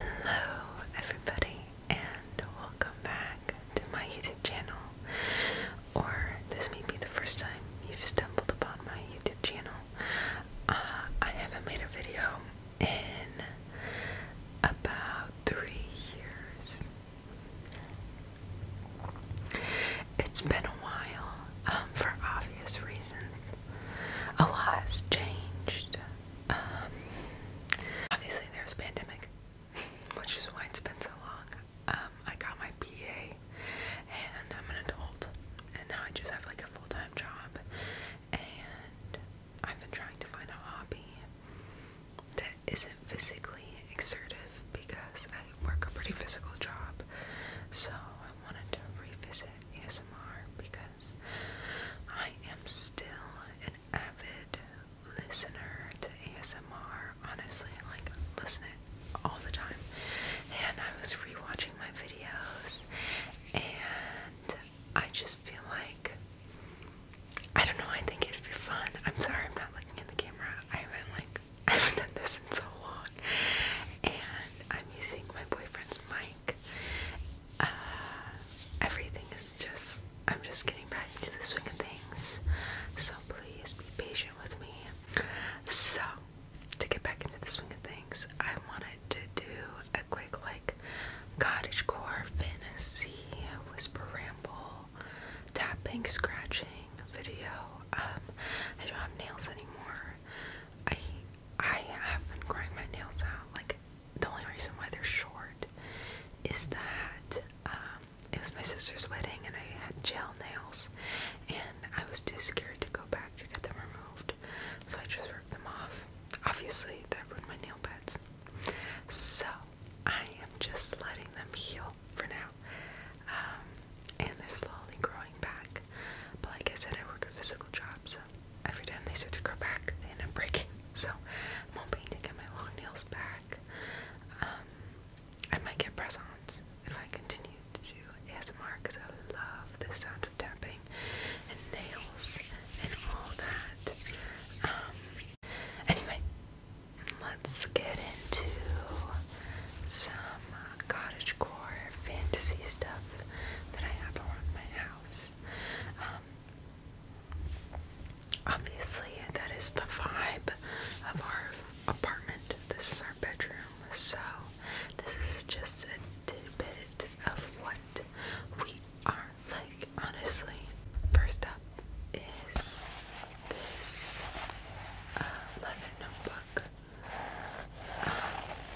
Hello everybody and welcome back to my YouTube channel or this may be the first time you've stumbled upon my YouTube channel. Uh, I haven't made a video in about three years. It's been a while um, for obvious reasons. A lot has changed. Um, obviously, there's pandemic, which is why it's been so long. Um, I got my BA, and I'm an adult, and now I just have like a full time job, and I've been trying to find a hobby that isn't physically exertive because I work a pretty physical job. So I wanted to revisit ASMR because I am still an avid listener to ASMR. Honestly, like listening all the time. And I was rewatching my videos, and I just feel like I don't know. I think it'd be fun. I'm sorry, I'm not looking at the camera. I haven't like I haven't done this in so long, and I'm using my boyfriend's mic uh, everything is just, I'm just getting back to the swing of things. So please be patient with me. So, to get back into the swing of things, I wanted to do a quick, like, cottagecore fantasy whisper ramble tapping, scratching video. Um, I don't have nails anymore. I I have been grinding my nails out like the only reason why they're short is that um, it was my sister's wedding and I had gel nails and I was too scared to go back to get them removed, so I just ripped them off. Obviously, that ruined my nail beds. So I am just letting them heal for now. Um, and they're slowly growing back. But like I said, I work a physical job, so every time they start to grow back, they end up breaking. So I'm hoping to get my long nails back. Um, I might get press-ons if I continue to ASMR because I love the sound of tapping and nails and all that. Um, anyway, let's get into some cottagecore fantasy stuff that I have around my house. Um, Obviously, that is the vibe of our apartment. This is our bedroom, so this is just a tidbit of what we are like, honestly. First up is this uh, leather notebook. Um,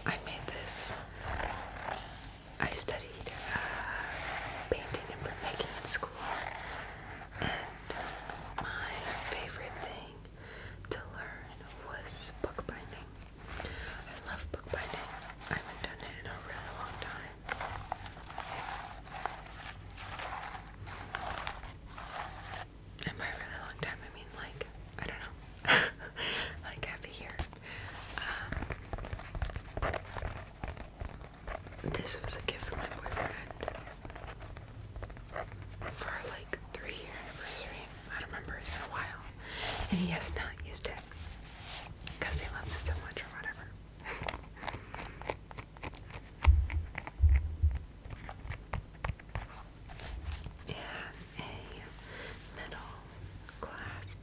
I made this I studied uh, painting and printmaking in school, and my favorite thing to learn was bookbinding. I love bookbinding. I haven't done it in a really long time. And by really long time, I mean like, I don't know, like half year. Um, this was a gift from my boyfriend for like three year anniversary. I remember, it a while. And he has not used it because he loves it so much or whatever. It has a metal clasp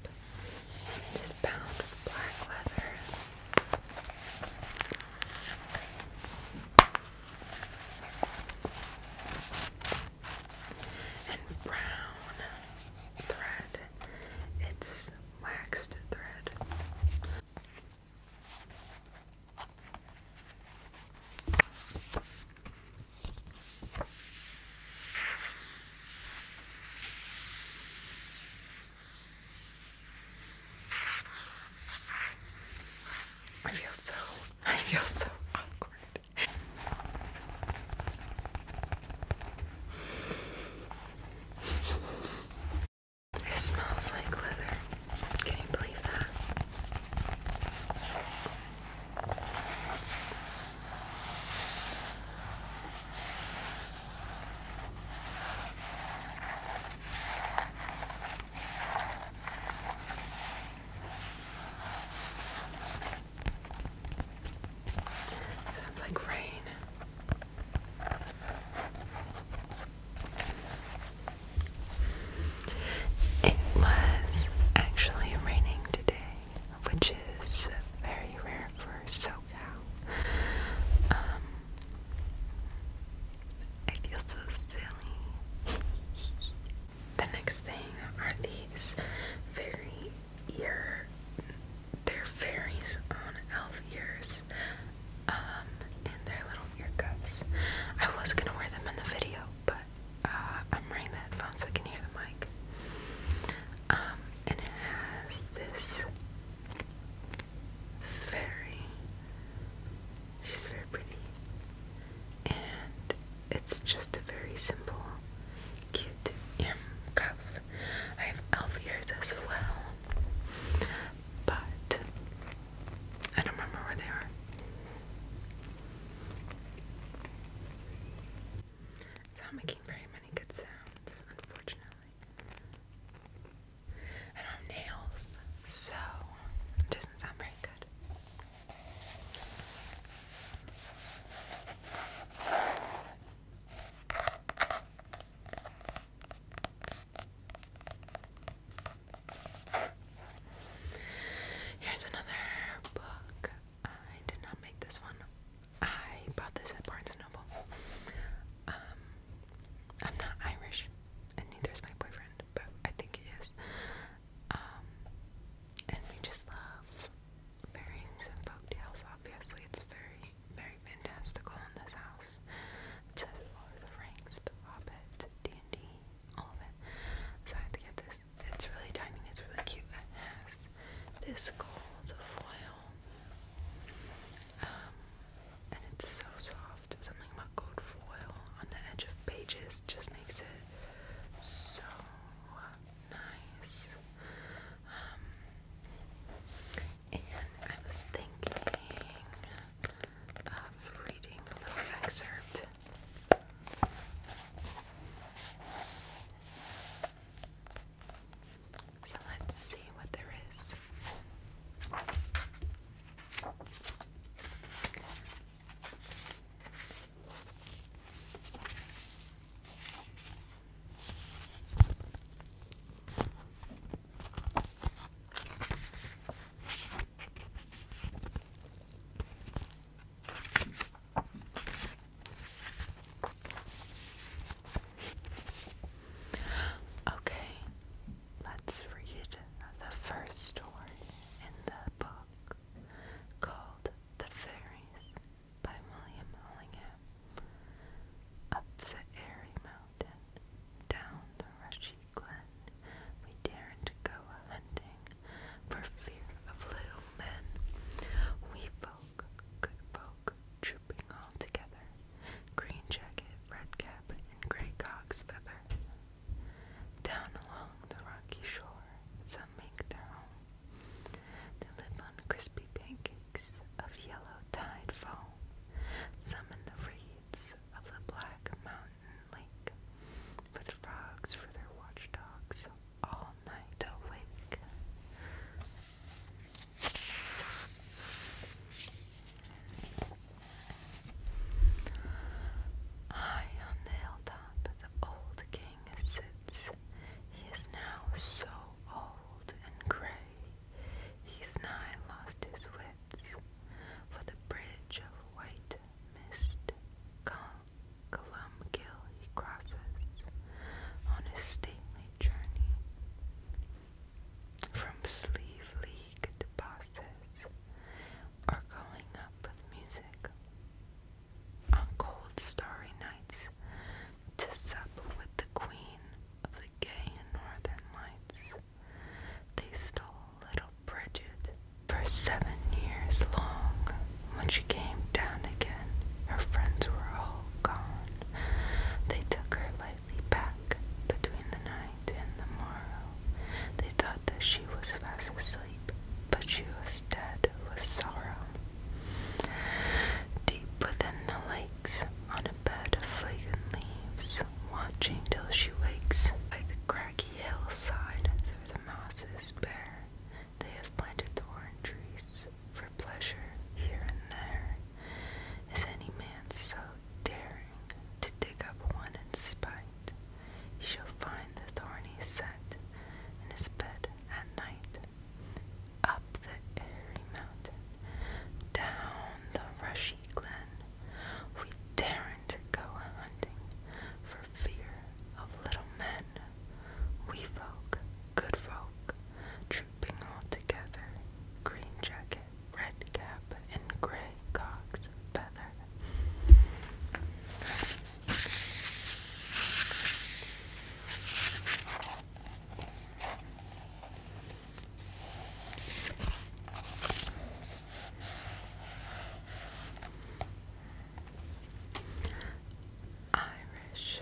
this bound of black leather. And brown thread. It's waxed thread. I feel so, I feel so awkward. It smells like leather. Can you believe that? Sounds like rain. It was actually raining today, which is very rare for so um, I feel so silly. the next thing are these fairy ear. they fairies on elf ears. Um, and their little ear cuffs. I was gonna wear them in the video, but uh, I'm wearing the headphones so I can hear the mic. Um, and it has this very she's very pretty and it's just a very simple cute cuff. I have elf ears as well. But I don't remember where they are. It's not making very many good sounds, unfortunately. I'm nails, so doesn't sound very good. Here's another book. I did not make this one I bought this at Barnes and Noble. Um, I'm not Irish, and neither is my boyfriend, but I think he is. Um, and we just love fairies tales. Obviously, it's very, very fantastical in this house. It says Lord of the Rings, The Hobbit, D and D, all of it. So I had to get this. It's really tiny. It's really cute. It has this gold foil. Um, and it's so soft. Something about gold foil on the edge of pages just makes it so nice. Um, and I was thinking of reading a little excerpt. So let's see what there is. Okay, let's read the first story in the book called The Fairies by William Allingham. Up the airy mountain, down the rushy glen, we daren't go hunting for fear of little men. We folk, good folk, trooping all together, green jacket, red cap, and grey cock's feather. Down along the rocky shore, some make their home. They live on crispy pancakes of yellow tide foam, some in the reeds of the black mountain lake, with frogs for their watchdogs all night awake. High on the hilltop, the old king sits. He is now so old and gray, he's nigh lost his wits. For the bridge of white mist, Columkill he crosses on his stately journey from sleeve league bosses or going up with music. On cold starry nights, to sup with the queen of the gay and northern lights, they stole little Bridget for seven years long. When she came down again, her friends were all gone. They took her back between the night and the morrow. They thought that she was fast asleep, but she was dead with sorrow. Deep within the lakes, on a bed of fragrant leaves, watching till she wakes, by the craggy hillside where the mosses bare, they have planted thorn trees for pleasure here and there. Is any man so daring to dig up one in spite? He shall find the thorny set in his bed at night. Up the airy mountain, down the rushy glen, we daren't go a hunting for fear of little men. We folk, good folk, trooping all together, green jackets red cap and gray cock's feather. Irish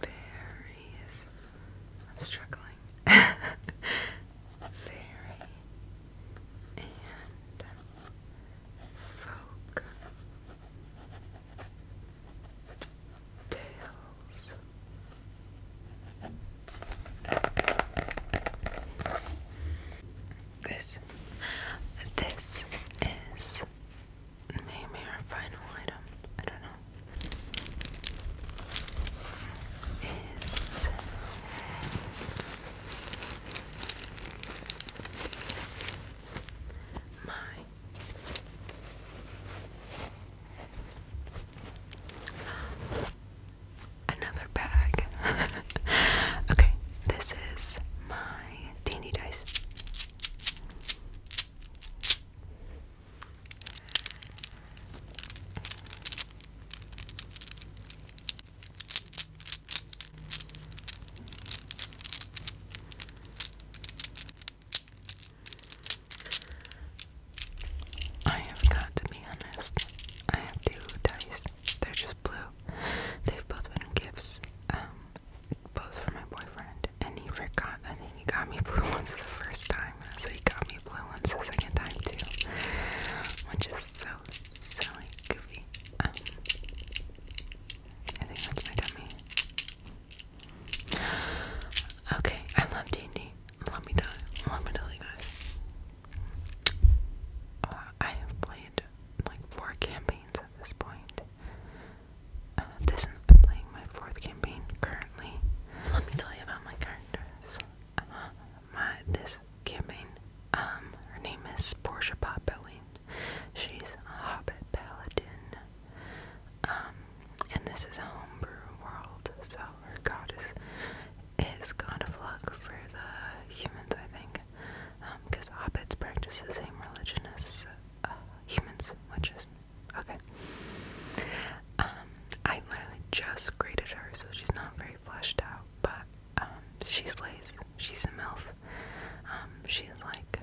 Fairies. I'm struggling. Fairy and um, folk tales. This, this is maybe final item, I don't know, is my another bag. okay, this is my d dice. I have got to be honest. I have two dice. They're just blue. They've both been gifts. Um, both for my boyfriend, and he forgot. I think he got me blue ones the first time, so he got me blue ones the second time too, which is so silly, goofy. Um, I think that's my tummy. Okay, I love D and D. Let me tell let me tell you guys. Uh, I have played like four campaigns at this point, uh, this I'm playing my fourth campaign currently. Let me tell you about my characters. Um, uh, my this campaign. Um, her name is Portia Potbelly. She's a Hobbit paladin. Um, and this is a homebrew world, so her god is is god of luck for the humans, I think, because um, hobbits practice the same religion as uh, humans, which is Okay. Um, I literally just graded her, so she's not very fleshed out, but um, she slays. She's a MILF. Um, she's like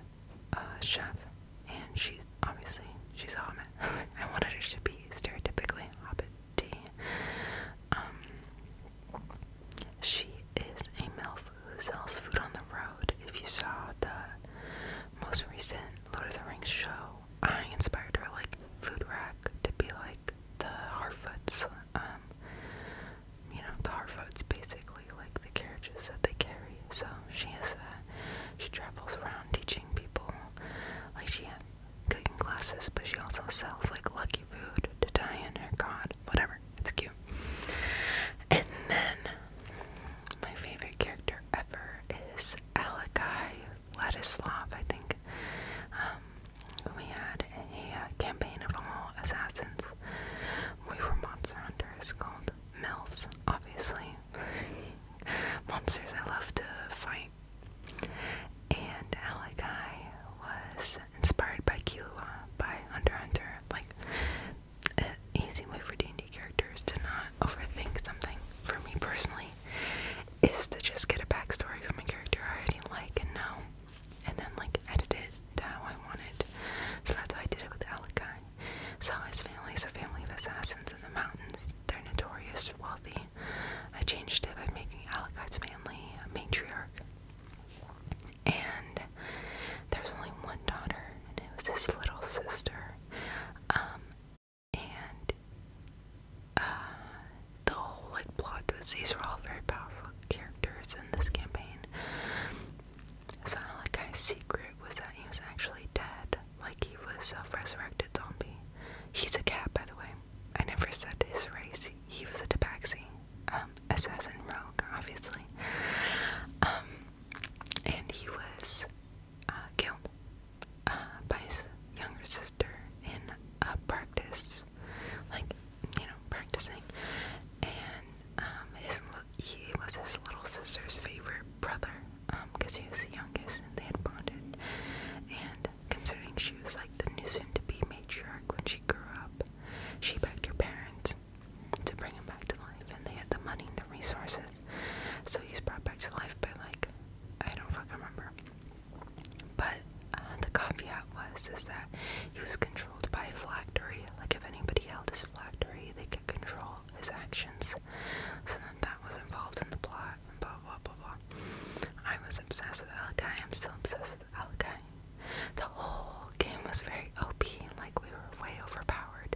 a chef, and she's obviously she's a hobbit. I wanted her to be stereotypically hobbity. Um, she is a MILF who sells food on the road. If you saw the most recent Lord of the Rings show, I inspired her like food rack to be like the Harfoots, um, you know, the Harfoots basically, like the carriages that they carry. So she is that. Uh, she travels around teaching people, like she has cooking classes, but she also sells like lucky food to Diane, her god, whatever. It's cute. And then my favorite character ever is Alakai Vladislav, I think. Um, we had a uh, campaign of all assassins. We were monster hunters called MILFs, obviously. Monsters I love to fight. And Alakai was inspired by Kilua by Hunter Hunter. Like an easy way for D&D characters to not overthink something, for me personally, is to just get a backstory from a character I already like and know, and then like edit it to how I want it. So that's how I did it with Alakai. So his family is a family of assassins in the mountains. They're notorious wealthy. I changed it by making Alakai's family a matriarch. And there's only one daughter, and it was his little sister. Um, and uh, the whole like plot was these were all very powerful characters in this campaign. So that guy's secret was that he was actually dead, like he was a self-resurrected zombie. He's a cat, by the way. I never said his race. He was a tabaxi, um, assassin rogue, obviously. Um, and he was uh, killed uh, by his younger sister in a practice, like you know, practicing. And um, his he was his little sister's favorite brother because um, he was the youngest, and they had bonded. And considering she was like the new soon-to-be matriarch when she grew up, she begged her parents to bring him back to life, and they had the money and the resources so he's brought back to life by like I don't fucking remember. But uh, the caveat was is that he was controlled by phylactery. Like if anybody held his phylactery, they could control his actions. So then that was involved in the plot. And blah blah blah blah. I was obsessed with Alakai. I'm still obsessed with Alakai. The whole game was very OP, like we were way overpowered.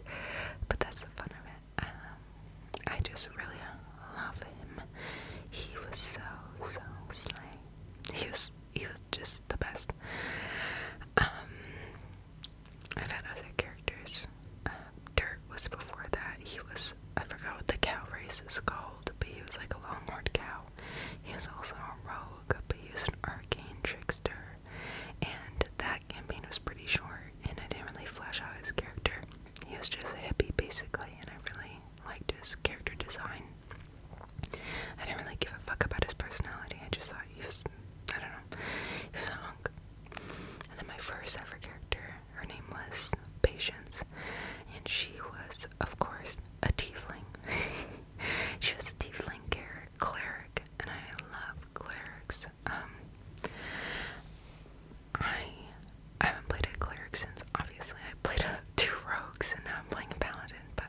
But that's the fun of it. Um, I just really love him. He was so so slang. He was he was just the best. Um, I've had other characters. Uh, Dirt was before that. He was I forgot what the cow race is called, but he was like a longhorned cow. He was also a rogue, but he was an arcane trickster. And that campaign was pretty short and I didn't really flesh out his character. He was just a hippie basically, and I really liked his character design. I didn't really give a fuck about his personality. I just thought he was, I don't know, he was a hunk. And then my first ever character, her name was Patience, and she was, of course, a tiefling. she was a tiefling cleric, and I love clerics um, I I haven't played a cleric since. Obviously, I played a, two rogues and now I'm playing a paladin. But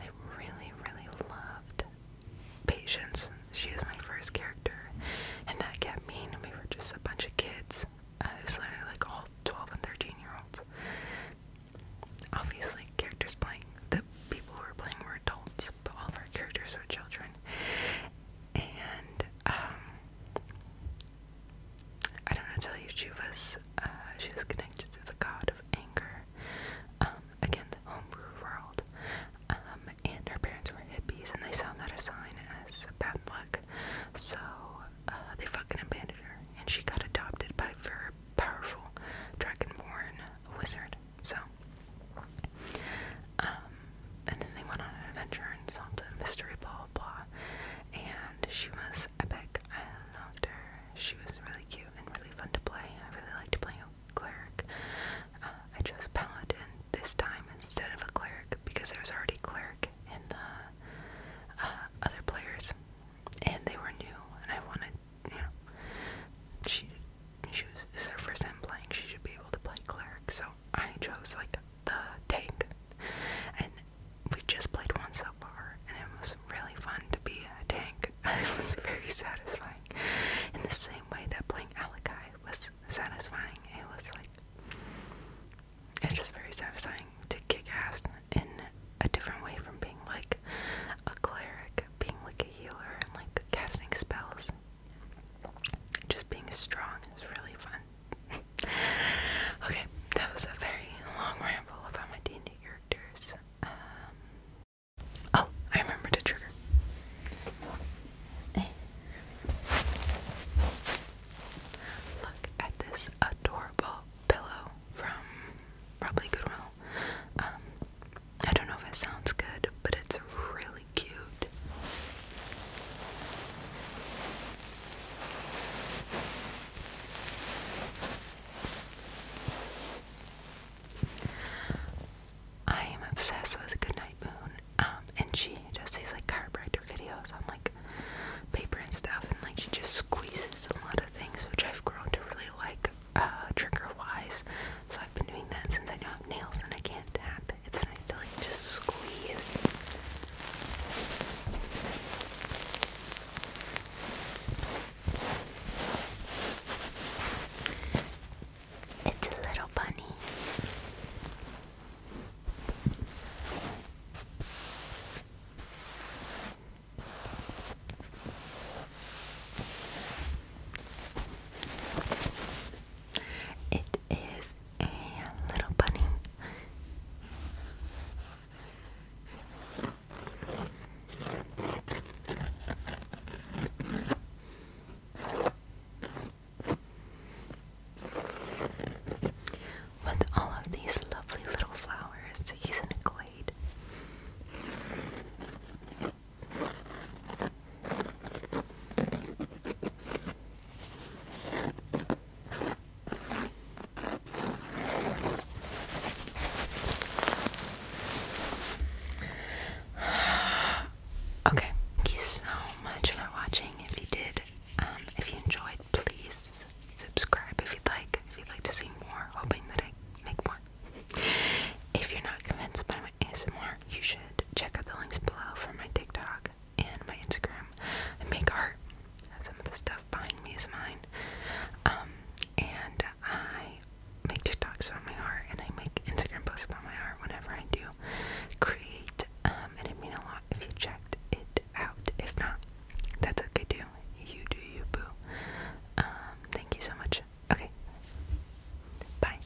I really, really loved Patience. She was my first character, and that kept me. And we were just a bunch of kids. Uh, it was literally like all 12 and 13 year olds. Obviously, characters playing the people who were playing were adults but all of our characters are children. And um, I don't know tell you, she was uh, she was connected to the god of anger. Um, the homebrew world. Um, and her parents were hippies, and they saw that as bad luck. So uh, they fucking abandoned her, and she got adopted by a very powerful dragonborn wizard. So um, and then they went on an adventure and solved a mystery, blah, blah, And she was epic. I loved her. She was really cute and really fun to play. I really liked playing a cleric. Uh, I chose Paladin this time instead of a cleric because there was already cleric in the uh, other players. And they were new, and I wanted, you know, she, she was, this is her first time playing, she should be able to play cleric, so I chose like the tank, and we just played one so far, and it was really fun to be a tank. it was very satisfying. In the same way that playing Alakai was satisfying, it was like it's just very satisfying to kick ass in a different way from being like a cleric, being like a healer, and like casting spells. Just being strong is really fun. okay, that was a very long ramble about my D&D characters. Um, oh, I remembered a trigger. Look at this adorable pillow from probably Goodwill. Um, I don't know if it sounds good, but it's really cute. I am obsessed with Goodnight Moon, um, and she does these like chiropractor videos on like paper and stuff, and like she just squeezes a lot of things, which I've grown to really like, uh, trigger wise. So I've been doing that since I don't have nails and I can't tap it's nice to like just squeeze. It's a little bunny. It is a little bunny. With all of these lovely little flowers, he's in a glade. Okay, thank you so much for watching. If you did, um, if you enjoyed, please subscribe if you'd like. If you'd like to see more, hoping that I make more. If you're not convinced by my ASMR, you should check out the links below for my TikTok and my Instagram. I make art. Some of the stuff behind me is mine. Um, and I make TikToks about my art and I make Instagram posts about my art whenever I do create. Um, and it mean a lot if you checked it out. If not, that's okay too. You do you boo. Um, thank you so much. Okay. Bye.